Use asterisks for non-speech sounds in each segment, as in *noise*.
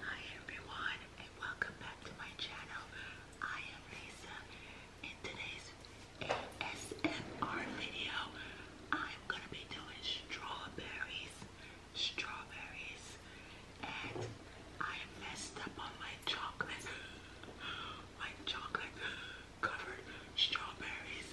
Hi everyone and welcome back to my channel. I am Lisa. In today's ASMR video, I'm gonna be doing strawberries. Strawberries. And I messed up on my chocolate. *gasps* My chocolate covered strawberries.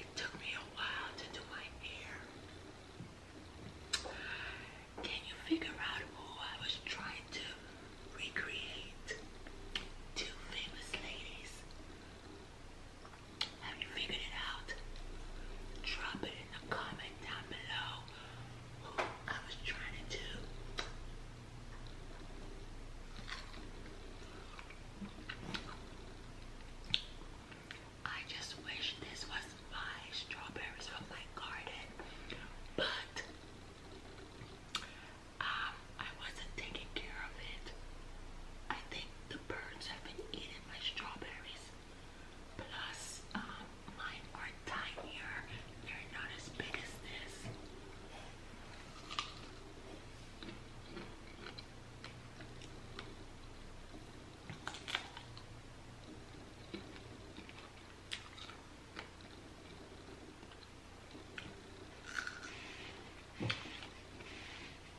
It took me a while to do my hair. Can you figure out who I was trying to recreate? Two famous ladies. Have you figured it out? Drop it I just wish this was my strawberries from my garden, but um, I wasn't taking care of it. I think the birds have been eating my strawberries. Plus, um, mine are tinier. They're not as big as this.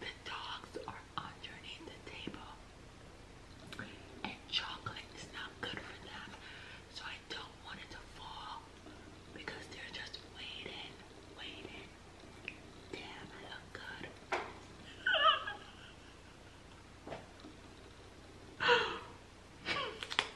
The dogs are underneath the table, and chocolate is not good for them, so I don't want it to fall because they're just waiting, waiting. Damn, look good. *laughs*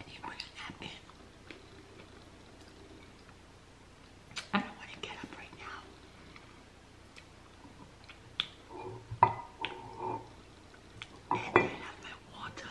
And you bring a nap in. I don't want to get up right now. And then have my water.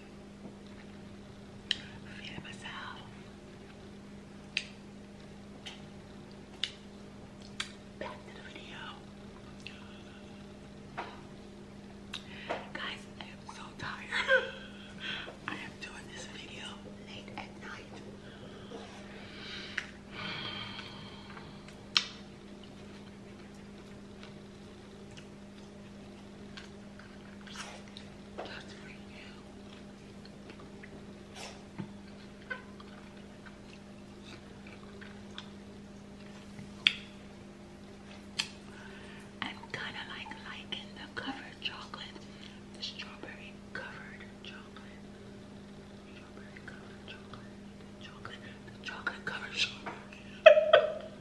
feeling myself. Back to the video. Guys, I am so tired. *laughs* I am doing this video late at night. That's you. I'm kind of like liking the covered chocolate, the strawberry covered chocolate, strawberry covered chocolate, *laughs*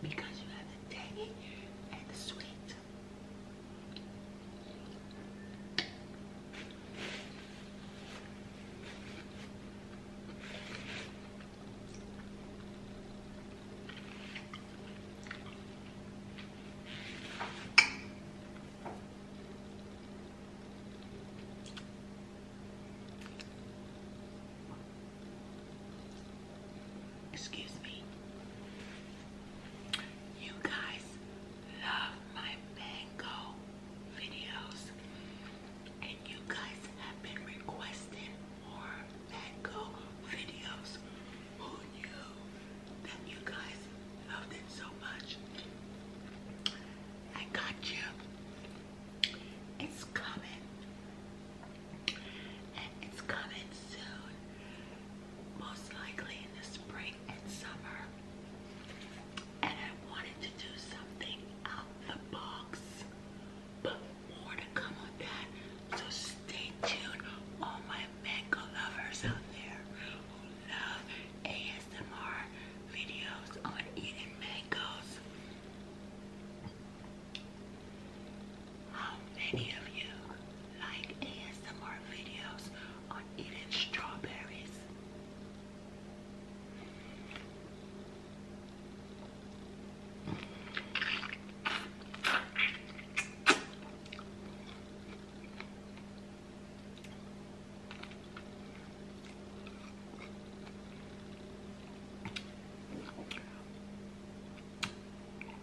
because you have the tangy and the sweet. Excuse me. You guys love my mango videos, and you guys have been requesting more mango videos. Who knew that you guys loved it so much? I got you it's coming. And it's coming soon. Most likely in the spring and summer. And I wanted to do something out the box. But more to come on that. So stay tuned, all my mango lovers out there love ASMR videos on eating mangoes. How many of you like ASMR videos on eating strawberries?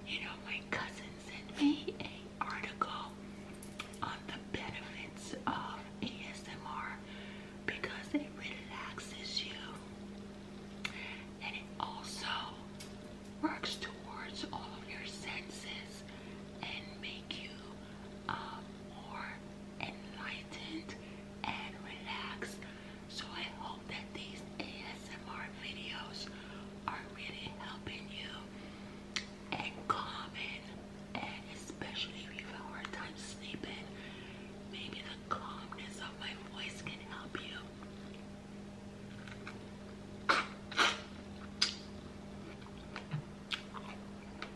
You know, my cousin sent me an article on the benefits of ASMR because it relaxes you and it also works towards all of your senses and make you uh, more enlightened and relaxed. So I hope that these ASMR videos are really helping you and and especially if you have a hard time sleeping. Maybe the calmness of my voice can help you.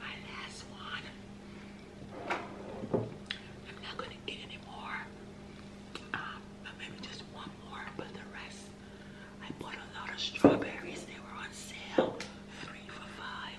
my last one. I'm not gonna eat anymore. Um, but maybe just one more, but the rest. I bought a lot of strawberries. They were on sale, three for five.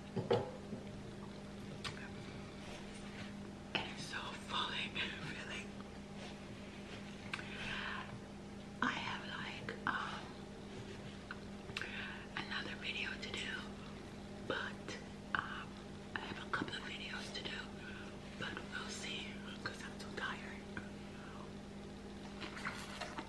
so funny, really. I have like um, another video to do, but um, I have a couple of videos to do, but we'll see because I'm so tired.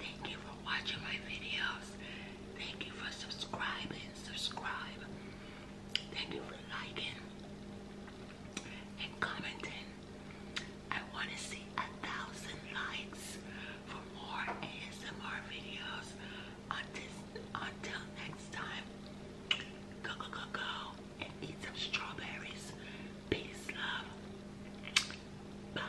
Thank you for watching my videos. Thank you for subscribing. Subscribe. Thank you for liking commenting. I want to see a thousand likes for more ASMR videos. Until, next time, go, go, go, and eat some strawberries. Peace, love. Bye.